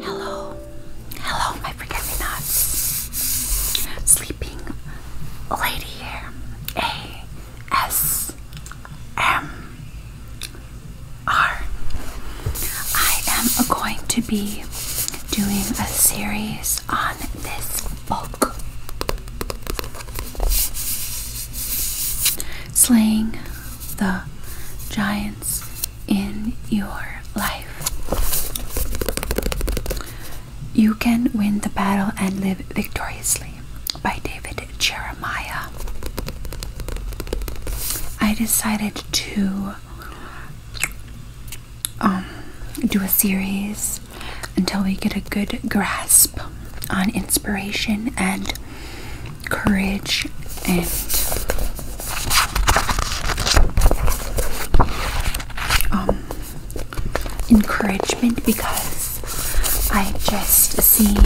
Hello, hello, my forget Sleeping lady here. A S M are I am going to be doing a series on this book Slaying the Giants in Your Life. You Can Win the Battle and Live Victoriously by David Jeremiah. I decided to um, do a series until we get a good grasp on inspiration and courage and um, encouragement because I just seen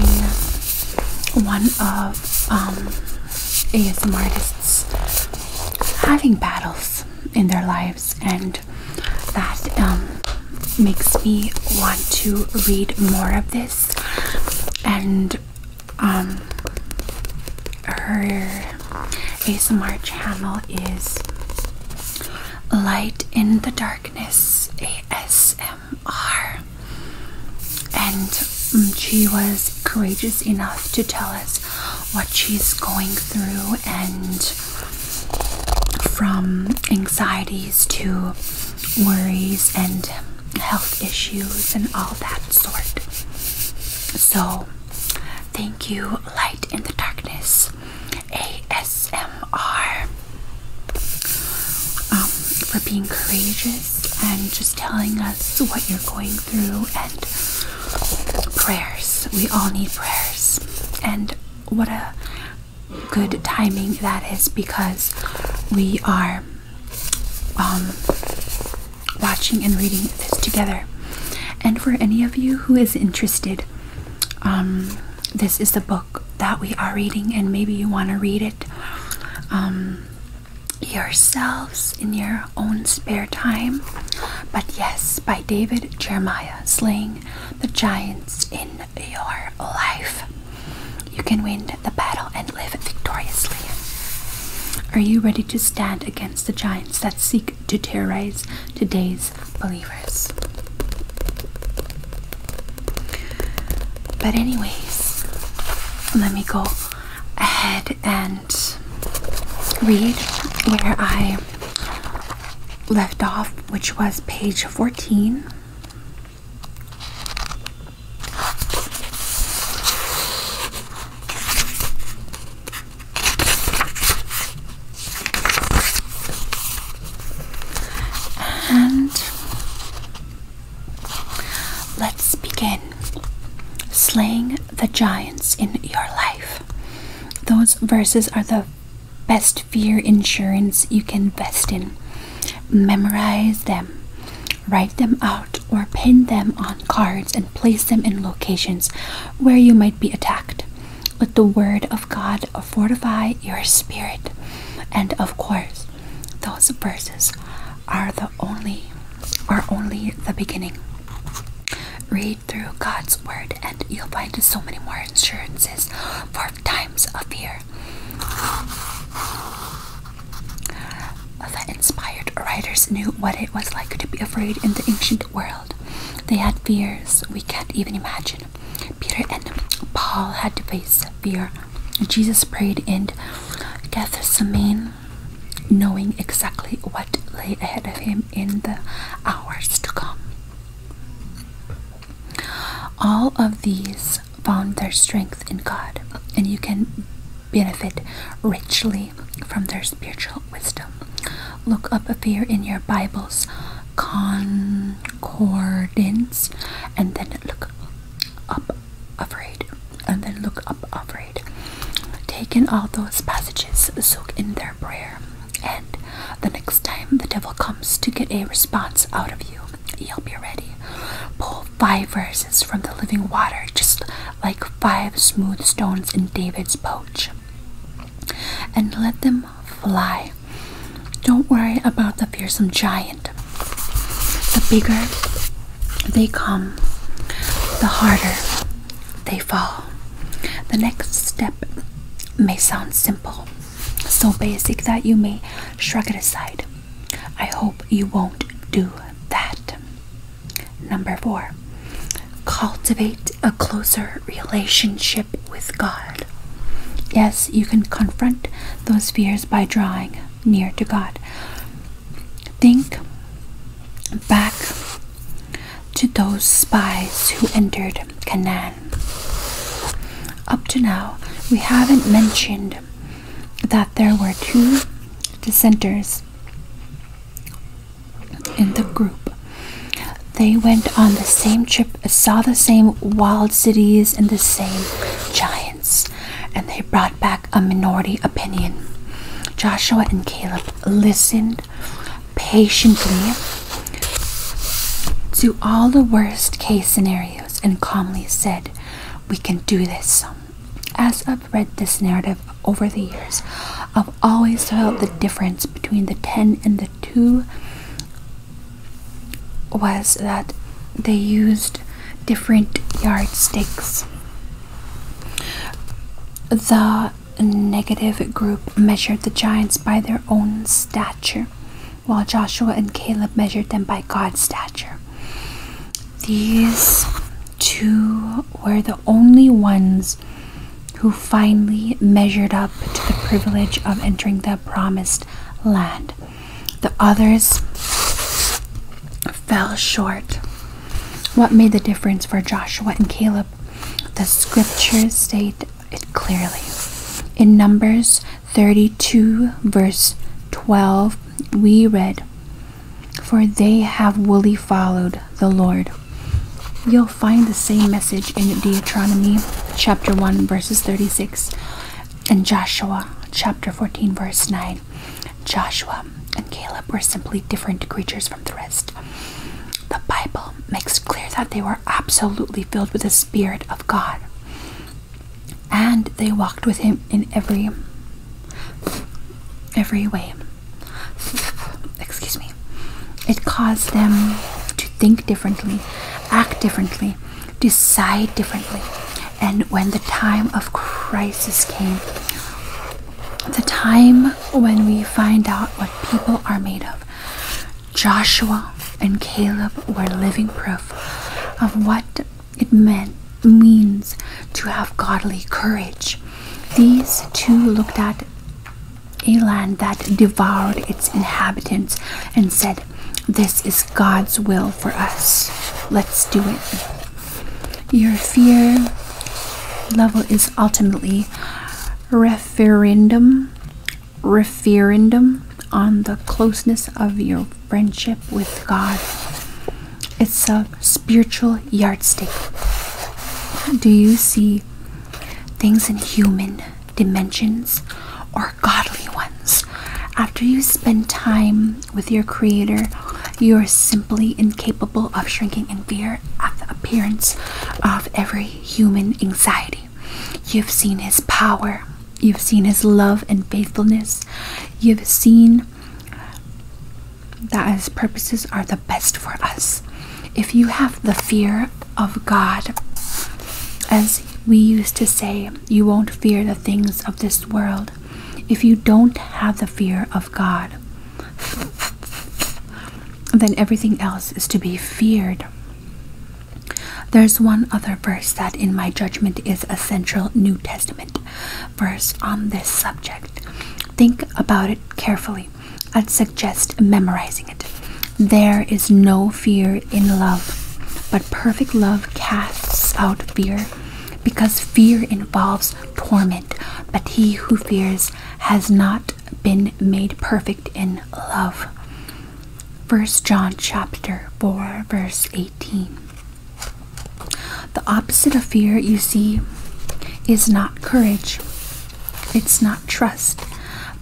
one of um ASM artists having battles in their lives, and that um, makes me want to read more of this. And um, her ASMR channel is Light in the Darkness ASMR and mm, she was courageous enough to tell us what she's going through and from anxieties to worries and health issues and all that sort. So, thank you, Light in the Darkness ASMR, um, for being courageous and just telling us what you're going through and prayers. We all need prayers. And what a good timing that is because we are um, watching and reading this together. And for any of you who is interested, um, this is the book that we are reading, and maybe you want to read it. Um, yourselves in your own spare time. But yes, by David Jeremiah, Slaying the Giants in Your Life. You can win the battle and live victoriously. Are you ready to stand against the giants that seek to terrorize today's believers? But, anyways, let me go ahead and read where I left off, which was page 14. And let's begin. Slaying the giants in your life. Those verses are the best fear insurance you can invest in. Memorize them, write them out, or pin them on cards and place them in locations where you might be attacked. Let the Word of God fortify your spirit. And of course, those verses are the only are only the beginning. Read through God's word and you'll find so many more insurances for times of fear. The inspired writers knew what it was like to be afraid in the ancient world. They had fears we can't even imagine. Peter and Paul had to face fear. Jesus prayed in Gethsemane knowing exactly what lay ahead of him in the hours to come. All of these found their strength in God, and you can benefit richly from their spiritual wisdom. Look up a fear in your Bible's concordance and then look up afraid, and then look up afraid. take in all those passages, soak in their prayer, and the next time the devil comes to get a response out of you, you'll be ready. Pull five verses from the living water, just like five smooth stones in David's pouch, and let them fly. Don't worry about the fearsome giant. The bigger they come, the harder they fall. The next step may sound simple, so basic that you may shrug it aside. I hope you won't do that. Number four, cultivate a closer relationship with God. Yes, you can confront those fears by drawing near to God. Think back to those spies who entered Canaan. Up to now, we haven't mentioned that there were two dissenters in the group. They went on the same trip, saw the same wild cities and the same giants, and they brought back a minority opinion. Joshua and Caleb listened patiently to all the worst case scenarios and calmly said, We can do this. As I've read this narrative over the years, I've always felt the difference between the 10 and the 2 was that they used different yardsticks. The negative group measured the giants by their own stature, while Joshua and Caleb measured them by God's stature. These two were the only ones who finally measured up to the privilege of entering the promised land. The others fell short what made the difference for Joshua and Caleb? The scriptures state it clearly. In Numbers 32, verse 12, we read, For they have wholly followed the Lord. You'll find the same message in Deuteronomy chapter 1, verses 36, and Joshua chapter 14, verse 9. Joshua and Caleb were simply different creatures from the rest. The Bible makes clear that they were absolutely filled with the Spirit of God. And they walked with him in every every way. Excuse me. It caused them to think differently, act differently, decide differently. And when the time of crisis came, the time when we find out what people are made of. Joshua and Caleb were living proof of what it means to have godly courage. These two looked at a land that devoured its inhabitants and said, This is God's will for us. Let's do it. Your fear level is ultimately referendum referendum on the closeness of your friendship with God. It's a spiritual yardstick. Do you see things in human dimensions or godly ones? After you spend time with your Creator, you are simply incapable capable of shrinking in fear at the appearance of every human anxiety. You've seen his power, you've seen his love and faithfulness, you've seen that his purposes are the best for us. If you have the fear of God, as we used to say, you won't fear the things of this world. If you don't have the fear of God, then everything else is to be feared. There's one other verse that, in my judgment, is a central New Testament verse on this subject. Think about it carefully. I'd suggest memorizing it. There is no fear in love, but perfect love casts out fear because fear involves torment but he who fears has not been made perfect in love. First John chapter 4 verse 18. The opposite of fear, you see, is not courage. It's not trust.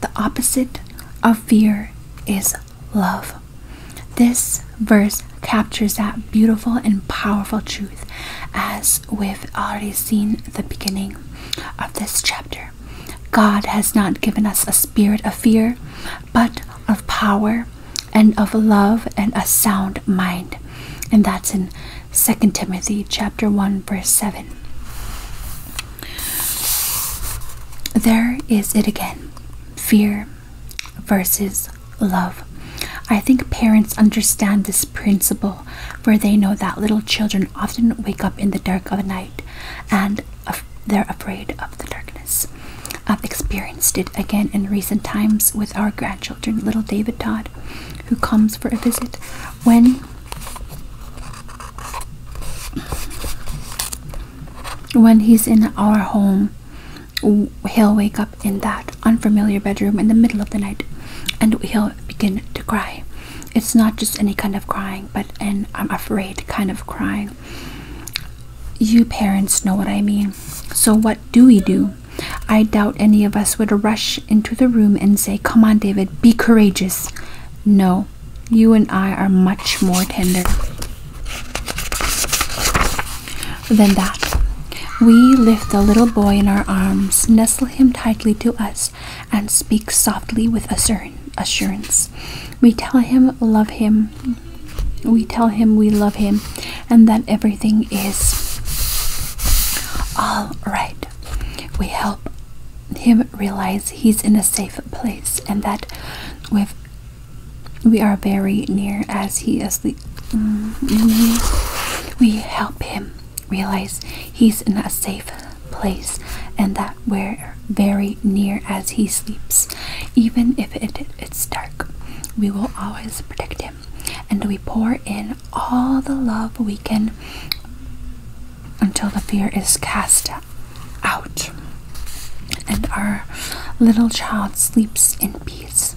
The opposite of fear is love. This verse captures that beautiful and powerful truth as we've already seen the beginning of this chapter, God has not given us a spirit of fear, but of power and of love and a sound mind. And that's in 2 Timothy chapter 1 verse 7. There is it again. Fear versus love. I think parents understand this principle, for they know that little children often wake up in the dark of the night and they're afraid of the darkness. I've experienced it again in recent times with our grandchildren, little David Todd, who comes for a visit. When when he's in our home, he'll wake up in that unfamiliar bedroom in the middle of the night, and he'll begin to cry. It's not just any kind of crying, but an I'm afraid kind of crying. You parents know what I mean. So, what do we do? I doubt any of us would rush into the room and say, Come on, David, be courageous. No, you and I are much more tender than that. We lift the little boy in our arms, nestle him tightly to us, and speak softly with assurance. We tell him love him. We tell him we love him and that everything is all right. We help him realize he's in a safe place and that we we are very near as he is mm, we help him realize he's in a safe place and that we're very near as he sleeps. Even if it's dark, we will always protect him. And we pour in all the love we can until the fear is cast out and our little child sleeps in peace.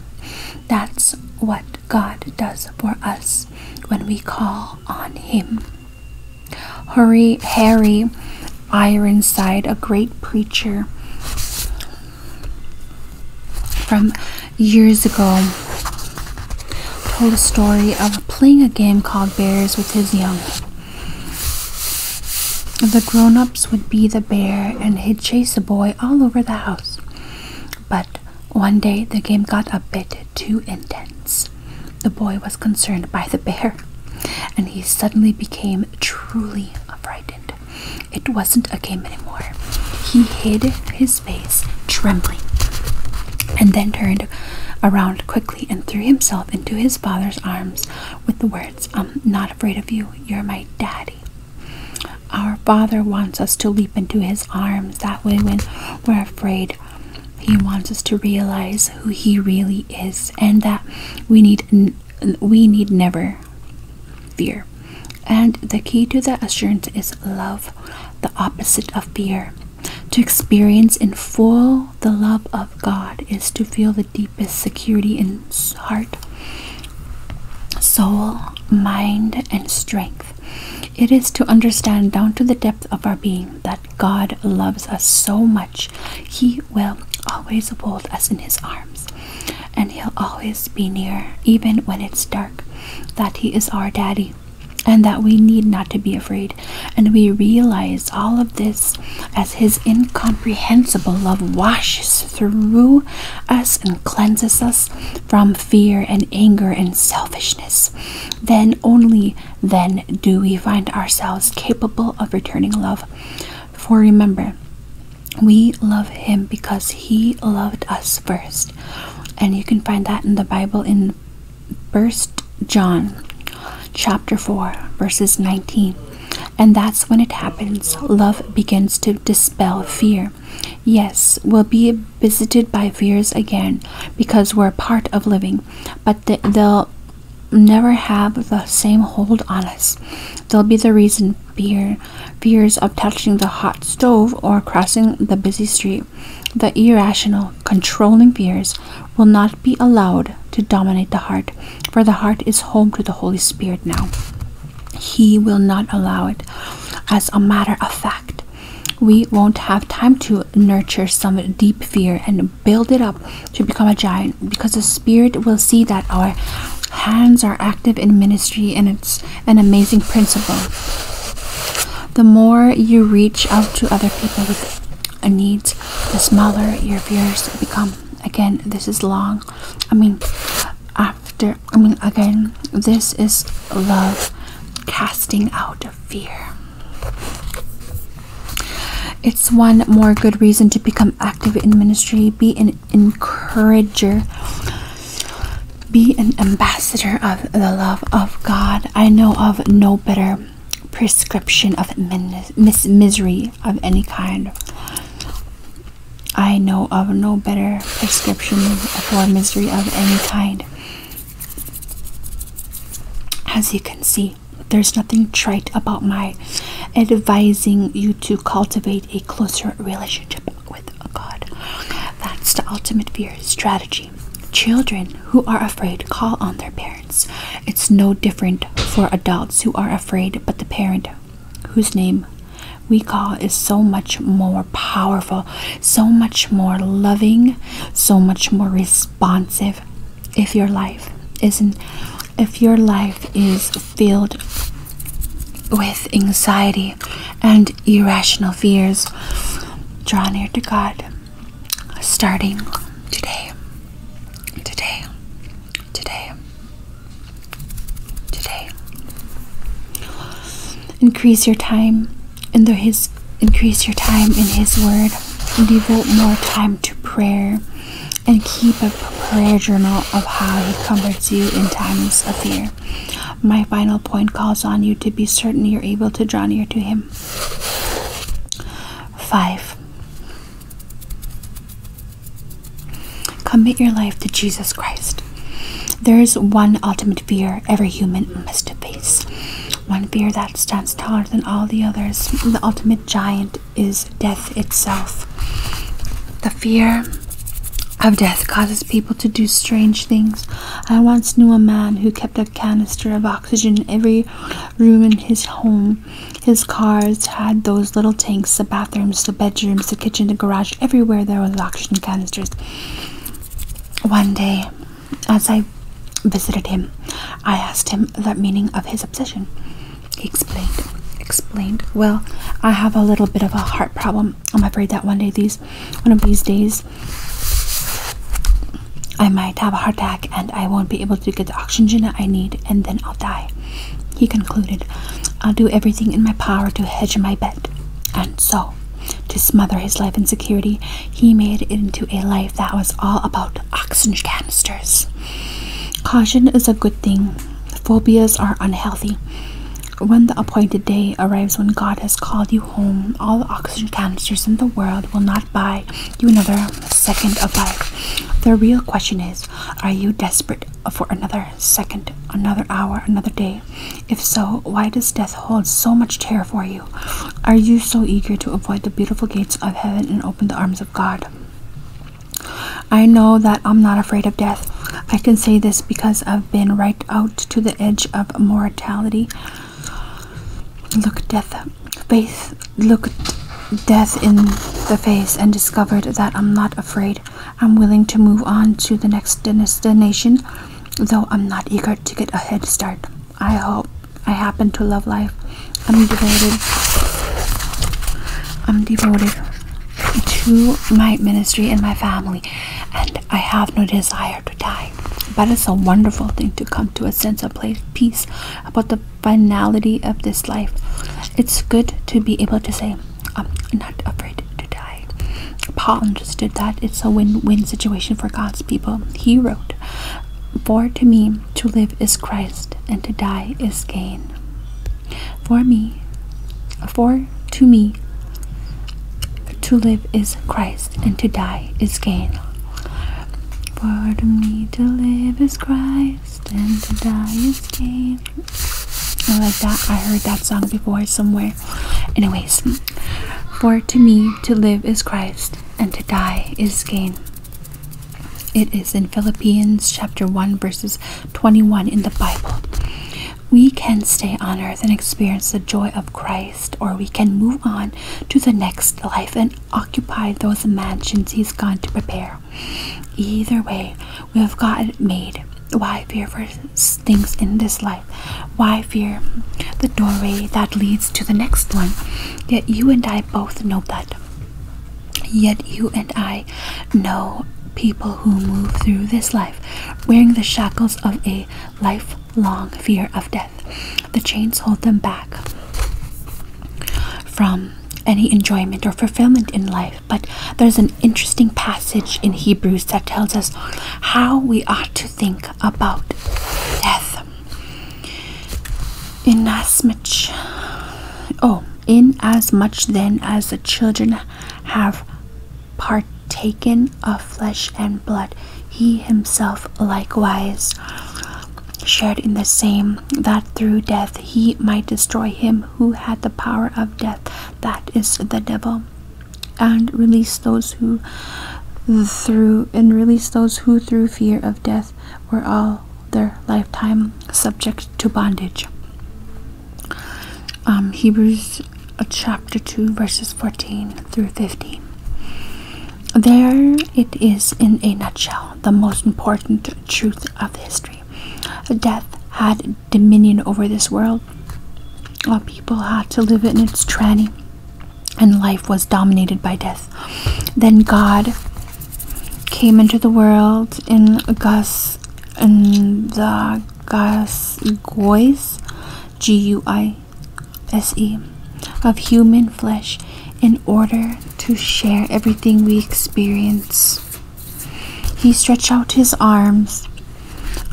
That's what God does for us when we call on him. hurry, Harry Ironside, a great preacher from years ago, told a story of playing a game called Bears with his young. The grown ups would be the bear and he'd chase a boy all over the house. But one day the game got a bit too intense. The boy was concerned by the bear, and he suddenly became truly frightened. It wasn't a game anymore. He hid his face, trembling, and then turned around quickly and threw himself into his father's arms with the words, I'm not afraid of you, you're my daddy. Our father wants us to leap into his arms. That way, when we're afraid, he wants us to realize who he really is and that we need we need never fear. And the key to that assurance is love, the opposite of fear. To experience in full the love of God is to feel the deepest security in heart, soul, mind, and strength. It is to understand down to the depth of our being that God loves us so much, He will always hold us in His arms, and He'll always be near, even when it's dark, that He is our daddy. And that we need not to be afraid. And we realize all of this as His incomprehensible love washes through us and cleanses us from fear and anger and selfishness then only then do we find ourselves capable of returning love. For remember, we love Him because He loved us first. And you can find that in the Bible in First John chapter 4 verses 19 and that's when it happens love begins to dispel fear yes we'll be visited by fears again because we're part of living, but they, will never have the same hold on us. They'll be the reason fear, fears of touching the hot stove or crossing the busy street. The irrational, controlling fears will not be allowed to dominate the heart, for the heart is home to the Holy Spirit now. He will not allow it. As a matter of fact, we won't have time to nurture some deep fear and build it up to become a giant because the spirit will see that our hands are active in ministry and it's an amazing principle the more you reach out to other people with needs the smaller your fears become again this is long i mean after i mean again this is love casting out fear. It's one more good reason to become active in ministry. Be an encourager. Be an ambassador of the love of God. I know of no better prescription of mis misery of any kind. I know of no better prescription for misery of any kind as you can see, there's nothing trite about my advising you to cultivate a closer relationship with God. That's the ultimate fear strategy. Children who are afraid call on their parents. It's no different for adults who are afraid, but the parent whose name we call is so much more powerful so much more loving, so much more responsive if your life isn't if your life is filled with anxiety and irrational fears, draw near to God starting today. Today. Today. Today. Increase your time in the his increase your time in his word devote more time to prayer and keep a prayer journal of how he comforts you in times of fear my final point calls on you to be certain you're able to draw near to him five commit your life to jesus christ there is one ultimate fear every human must face. One fear that stands taller than all the others. The ultimate giant is death itself. The fear of death causes people to do strange things. I once knew a man who kept a canister of oxygen in every room in his home. His cars had those little tanks, the bathrooms, the bedrooms, the kitchen, the garage, everywhere there was oxygen canisters. One day, as I visited him, I asked him the meaning of his obsession. He explained, explained, Well, I have a little bit of a heart problem. I'm afraid that one day these one of these days I might have a heart attack and I won't be able to get the oxygen I need and then I'll die. He concluded, I'll do everything in my power to hedge my bet. And so to smother his life in security, he made it into a life that was all about oxygen canisters. Caution is a good thing, phobias are unhealthy. When the appointed day arrives when God has called you home, all oxygen canisters in the world will not buy you another second of life. The real question is are you desperate for another second, another hour, another day? If so, why does death hold so much terror for you? Are you so eager to avoid the beautiful gates of heaven and open the arms of God? I know that I'm not afraid of death. I can say this because I've been right out to the edge of mortality. Look, death, faith, look, death in the face, and discovered that I'm not afraid. I'm willing to move on to the next destination, though I'm not eager to get a head start. I hope I happen to love life. I'm devoted. I'm devoted to my ministry and my family, and I have no desire to die. But it's a wonderful thing to come to a sense of peace about the finality of this life. It's good to be able to say, I'm not afraid to die. Paul understood that it's a win win situation for God's people. He wrote, for to me to live is Christ, and to die is gain. For me, for to me to live is Christ, and to die is gain. For to me to live is Christ, and to die is gain. I like that. I heard that song before somewhere. Anyways, for to me to live is Christ, and to die is gain. It is in Philippians chapter 1 verses 21 in the Bible. We can stay on earth and experience the joy of Christ, or we can move on to the next life and occupy those mansions He's gone to prepare. Either way, we have got it made. Why fear for things in this life why fear the doorway that leads to the next one? Yet you and I both know that. Yet you and I know people who move through this life wearing the shackles of a lifelong fear of death. The chains hold them back from any enjoyment or fulfillment in life. But there's an interesting passage in Hebrews that tells us how we ought to think about death. In as much, oh, in as much then as the children have partaken of flesh and blood, he himself likewise shared in the same, that through death he might destroy him who had the power of death, that is the devil, and release those who through and release those who through fear of death were all their lifetime subject to bondage. Um, Hebrews uh, chapter 2, verses 14 through 15. There it is in a nutshell, the most important truth of history. Death had dominion over this world. All people had to live in its tranny and life was dominated by death. Then God came into the world in Gus in the Gus Gois, G U I S E, of human flesh in order to share everything we experience. He stretched out his arms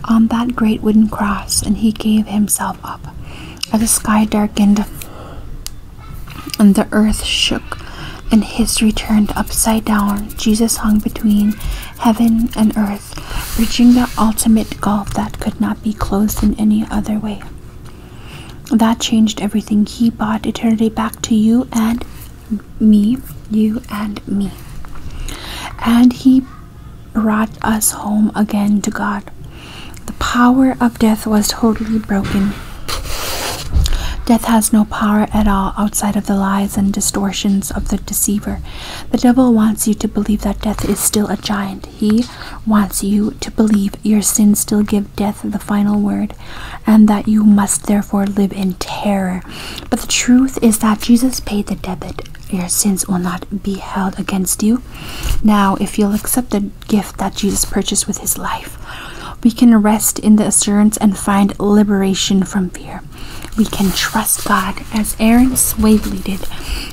on that great wooden cross and he gave himself up as the sky darkened and the earth shook and history turned upside down, Jesus hung between heaven and earth, bridging the ultimate gulf that could not be closed in any other way. That changed everything. He bought eternity back to you and me, you and me. And He brought us home again to God. The power of death was totally broken. Death has no power at all outside of the lies and distortions of the deceiver. The devil wants you to believe that death is still a giant. He wants you to believe your sins still give death the final word and that you must therefore live in terror. But the truth is that Jesus paid the debt. Your sins will not be held against you. Now, if you'll accept the gift that Jesus purchased with his life. We can rest in the assurance and find liberation from fear. We can trust God as Aaron Swavely did.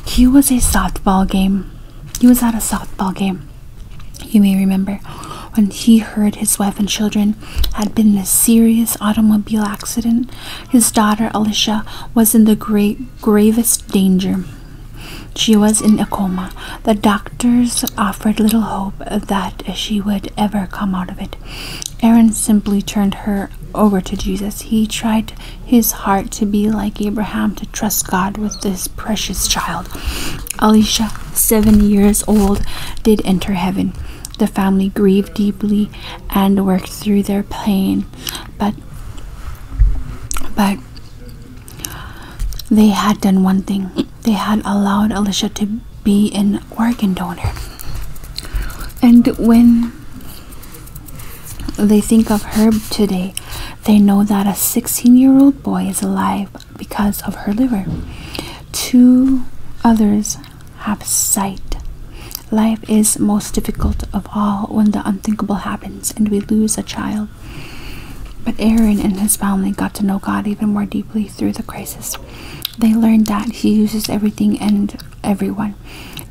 He was a softball game. He was at a softball game. You may remember when he heard his wife and children had been in a serious automobile accident. His daughter Alicia was in the great gravest danger. She was in a coma. The doctors offered little hope that she would ever come out of it. Aaron simply turned her over to Jesus. He tried his heart to be like Abraham, to trust God with this precious child. Alicia, seven years old, did enter heaven. The family grieved deeply and worked through their pain, but but they had done one thing. They had allowed Alicia to be an organ donor. And when they think of Herb today, they know that a 16 year old boy is alive because of her liver. Two others have sight. Life is most difficult of all when the unthinkable happens and we lose a child. But Aaron and his family got to know God even more deeply through the crisis. They learned that He uses everything and everyone.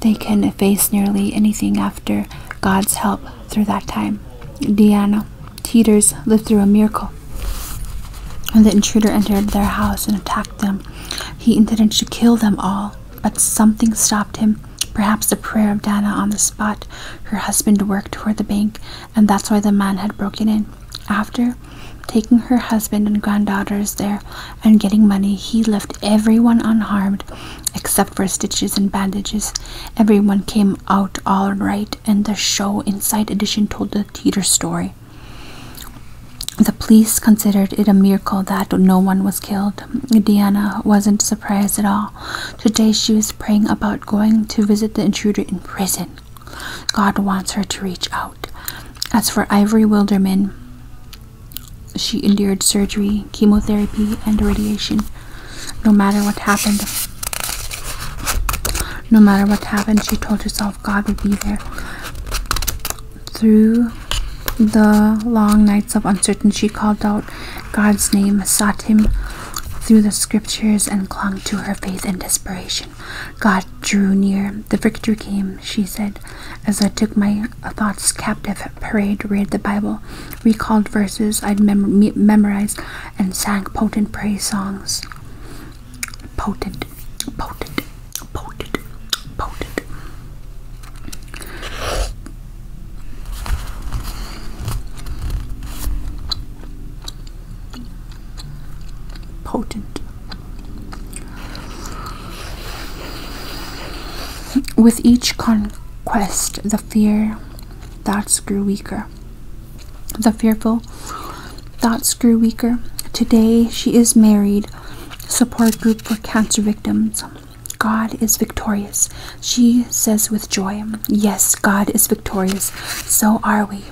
They can face nearly anything after God's help through that time. Diana Teeters lived through a miracle. When the intruder entered their house and attacked them, he intended to kill them all, but something stopped him. Perhaps the prayer of Dana on the spot. Her husband worked for the bank, and that's why the man had broken in. After taking her husband and granddaughters there and getting money, he left everyone unharmed except for stitches and bandages. Everyone came out all right, and the show Inside Edition told the Teeter story. The police considered it a miracle that no one was killed. Diana wasn't surprised at all. Today she was praying about going to visit the intruder in prison. God wants her to reach out. As for Ivory Wilderman, she endured surgery, chemotherapy, and radiation. No matter what happened, no matter what happened, she told herself God would be there. Through the long nights of uncertainty, she called out God's name sought him through the scriptures and clung to her faith in desperation. God drew near. The victory came, she said, as I took my thoughts captive, prayed, read the Bible, recalled verses I'd memorized, and sang potent praise songs. Potent, potent, potent, potent. Potent. With each conquest, the fear thoughts grew weaker. The fearful thoughts grew weaker. Today she is married. Support group for cancer victims. God is victorious. She says with joy, Yes, God is victorious, so are we.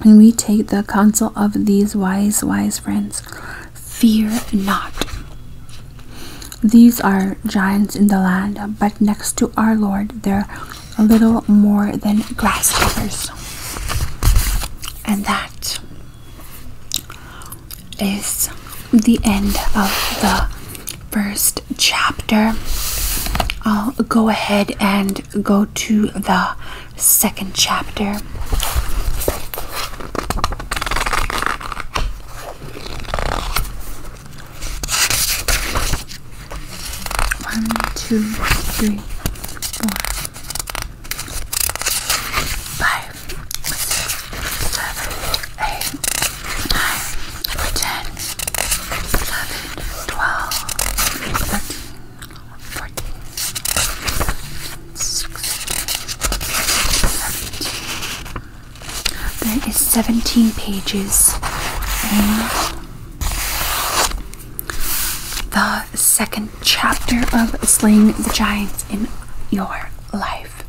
And we take the counsel of these wise, wise friends. Fear not. These are giants in the land, but next to our Lord, they're little more than grasshoppers. And that is the end of the first chapter, I'll go ahead and go to the second chapter. One, two, three, four, five, six, seven, Eight, nine, ten, eleven, twelve, thirteen, fourteen, sixteen, seventeen. There is seventeen pages in the second chapter of Slaying the Giants in Your Life.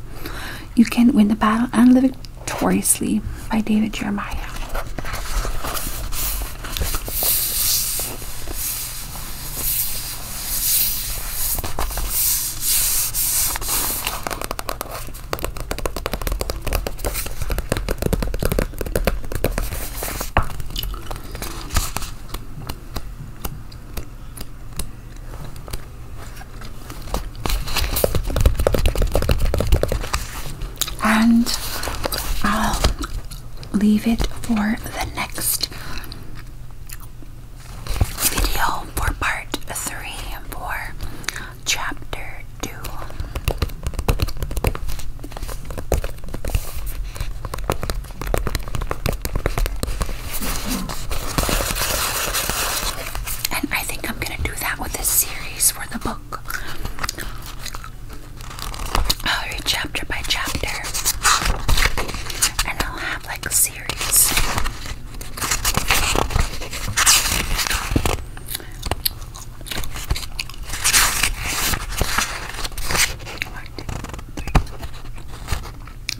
You can win the battle and live Notoriously by David Jeremiah and I'll leave it for the next video for part three and four, chapter two. And I think I'm going to do that with this series for the book. I'll read chapter by chapter, and I'll have like a series.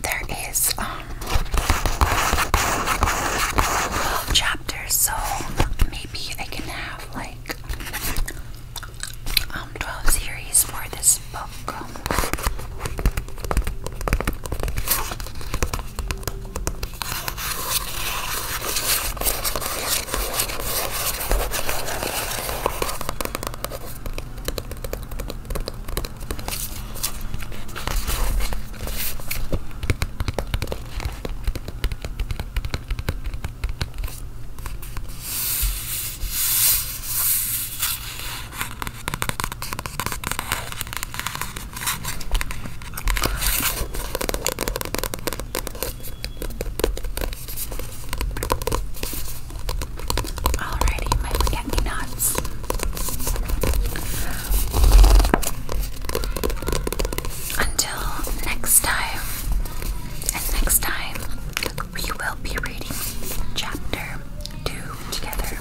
There is um chapters, so maybe I can have like um 12 series for this book. Alrighty, my forget me nots until next time, and next time we will be reading chapter two together.